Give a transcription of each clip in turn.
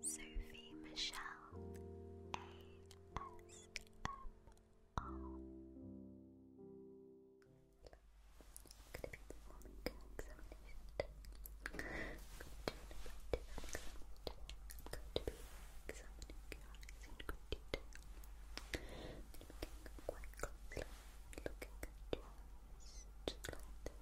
Sophie Michelle ASMR. Going to be performing an examination going to be examining your eyes in great detail. I'm going to looking quite closely, looking at your eyes, just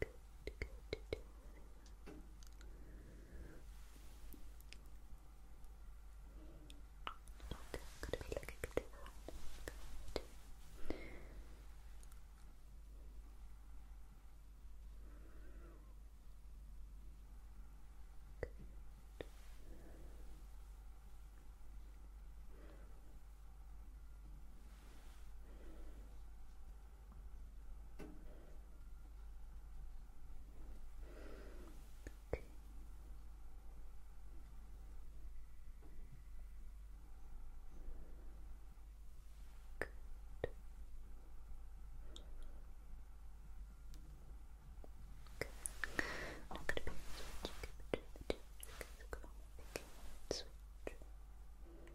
Good, good, good. Okay, could be looking at the one. Good. Good. Okay. Good. Okay. I'm not going to be switching between the two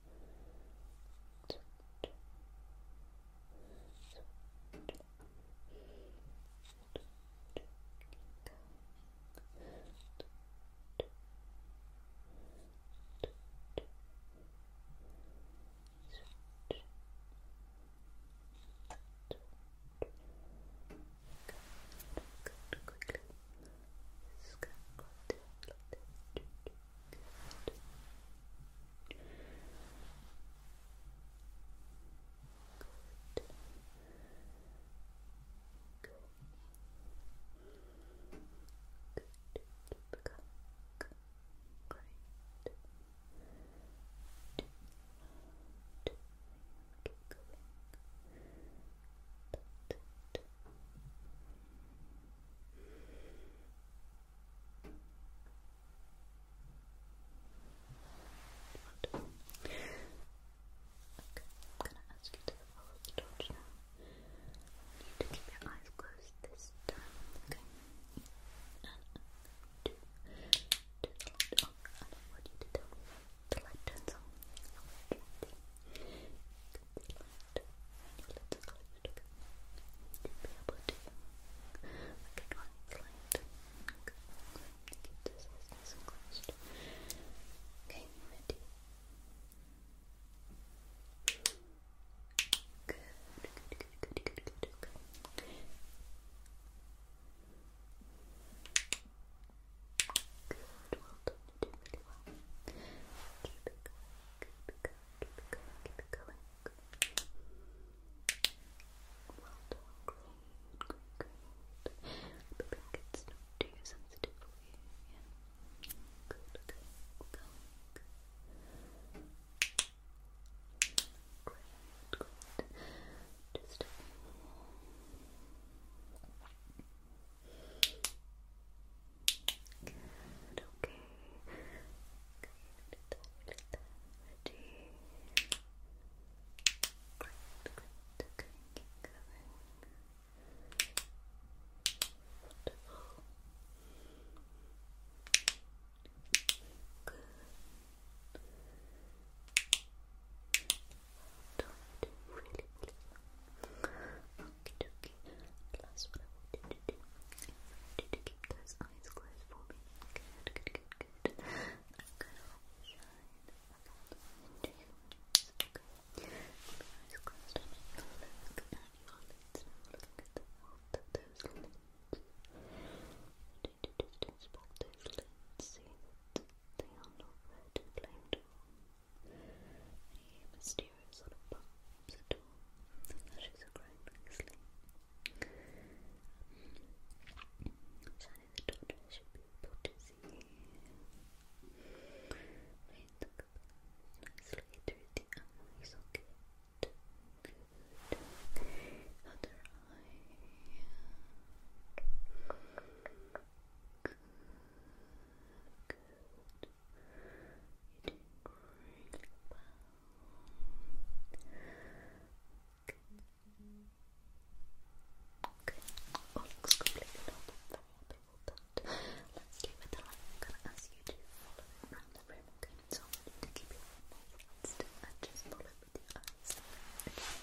Good, quickly. Scan, Good. Good. Good. Good. Good. Great. Keep going. Good. Good. Wonderful. I'm going to ask you to follow the torch now. You need to keep your eyes closed this time, okay? And I want you to tell the light turns on little bit to be able to look at lines light. Okay, keep this as nice and closed. Okay, ready? Good, good, good, good, good, good, okay. Good, well done, you did really well. Keep it going, keep it going, keep it going, keep it going. Well done, great, great, great. The pink it's sensitive for you, Good, okay, Great, great. Just okay. Great, great, okay, keep going. Wonderful. Good. Don't really Okay, okay. Last what I wanted to do. I wanted to do keep those eyes closed for me. Good, good, good, good. I'm gonna shine a bottle into your eyes. Okay. Keep your eyes closed. I'm just gonna look at your lids now. Looking at the mouth of those lids. Just spot those lids. See that they are not red and blamed on any mysterious sort of bumps at all. The lashes are growing nicely. Johnny the doctor should be able to see Rain the nicely through the Good Other eye you Okay. Oh, Let's keep it alive. I'm going to ask you to follow around the room, okay? So I to keep your mouth and just follow it with your eyes.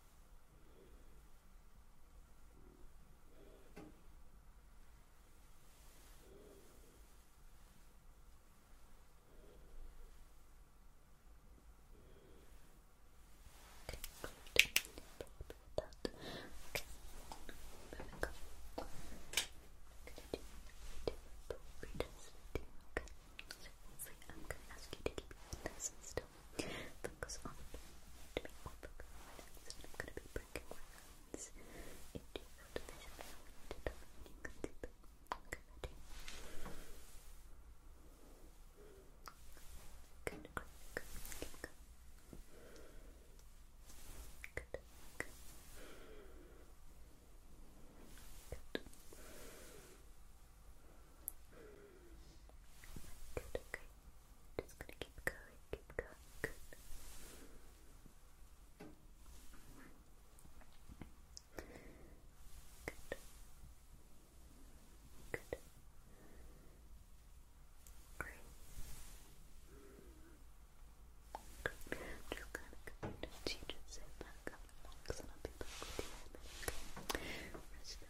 Okay, good. That. Okay. Moving on. I'm gonna do two appropriate testing. Okay. So hopefully I'm gonna ask you to keep your nice and still Focus I'm going to be breaking my into your you Good, good, Good, good. Good. Good, okay. Just gonna keep going, keep going, good. Good. Great. Good. just gonna go to sit back relax and I'll be back with you in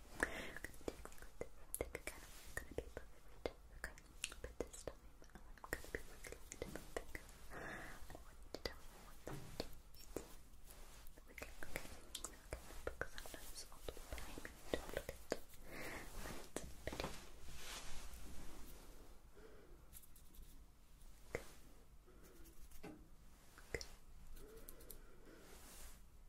take a kind of gonna be perfect. Okay, put this time I'm gonna be wiggling it my finger. I want you to tell me what that is. Wiggling, okay. Okay, because sometimes all the time you don't look at it. That's pretty. Okay. Good. Good.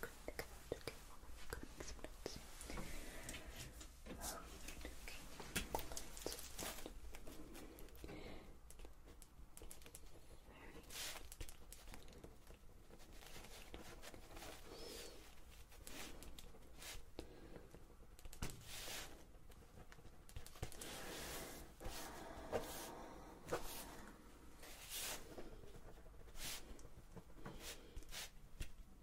Good, good. Okay, well, let me go make some notes. Um, okay, let's Okay.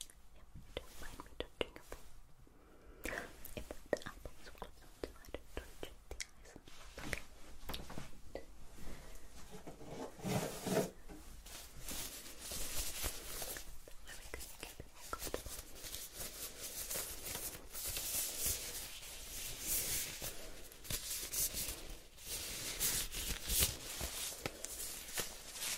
Yep, don't mind me touching up. If the eyeballs were close I don't touch the eyes. Okay. Right. That way we it more comfortable. Okay,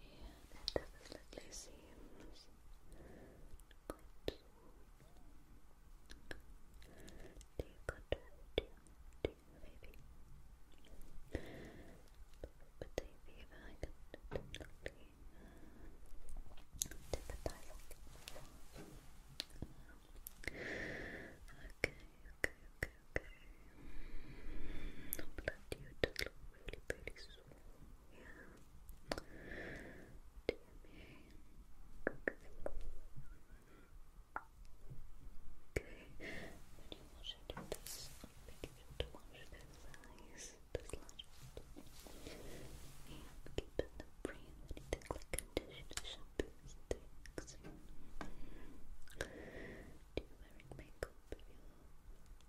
Yeah, it definitely seems good. Do you to do, do But the fever, I can definitely uh, sympathize um, Okay, okay, okay, okay. Blood, you just really, really sore. Yeah. Okay. When you wash it with this, I'll make sure to wash those eyes, those lashes. And keep in the brain anything like conditioner, shampoos, things. Do you wear makeup you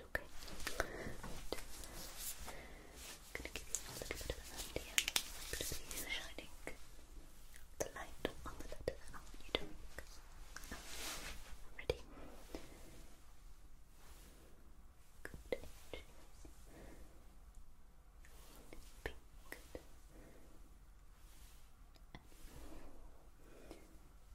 that, okay? going to give you a little bit of an idea. going to be shining the light on the letter that you to make. ready? Good. Good.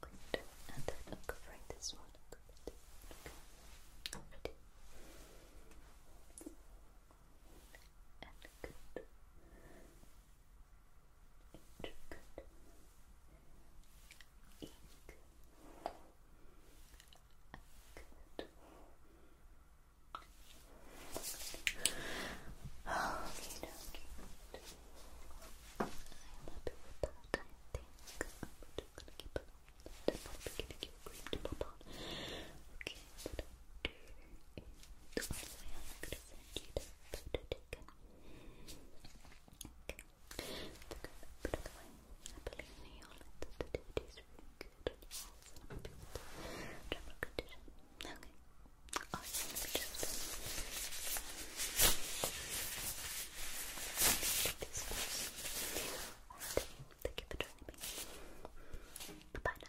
Good. And then I'm covering this one. Good. Okay. Ready. And good. Inch. Good. Ink. Good. Okay, now, okay, good. I'm happy with that, I think. I'm just gonna keep it on. I'm probably gonna give Okay, what I'll I'm gonna send you the photo taken. Okay. It's a I believe in the sensitivity is really good on your I'm happy with the general condition. Okay. Awesome. just take this first. Alright. Thank you for joining me. Bye bye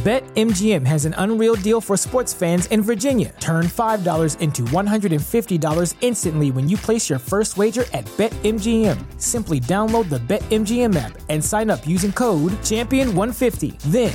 BetMGM has an unreal deal for sports fans in Virginia. Turn $5 into $150 instantly when you place your first wager at BetMGM. Simply download the BetMGM app and sign up using code Champion150. Then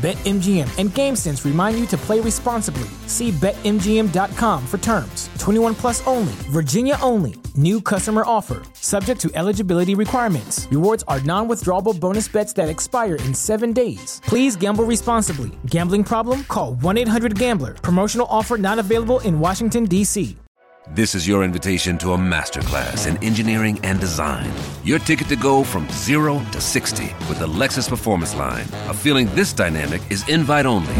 BetMGM and GameSense remind you to play responsibly. See BetMGM.com for terms. 21 plus only, Virginia only. New customer offer, subject to eligibility requirements. Rewards are non withdrawable bonus bets that expire in seven days. Please gamble responsibly. Gambling problem? Call 1 800 Gambler. Promotional offer not available in Washington, D.C. This is your invitation to a masterclass in engineering and design your ticket to go from zero to 60 with the Lexus Performance Line. A feeling this dynamic is invite only.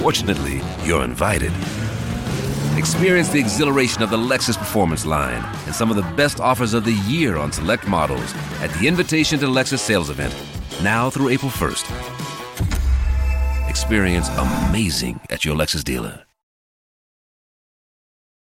Fortunately, you're invited. Experience the exhilaration of the Lexus Performance Line and some of the best offers of the year on select models at the Invitation to Lexus sales event, now through April 1st. Experience amazing at your Lexus dealer.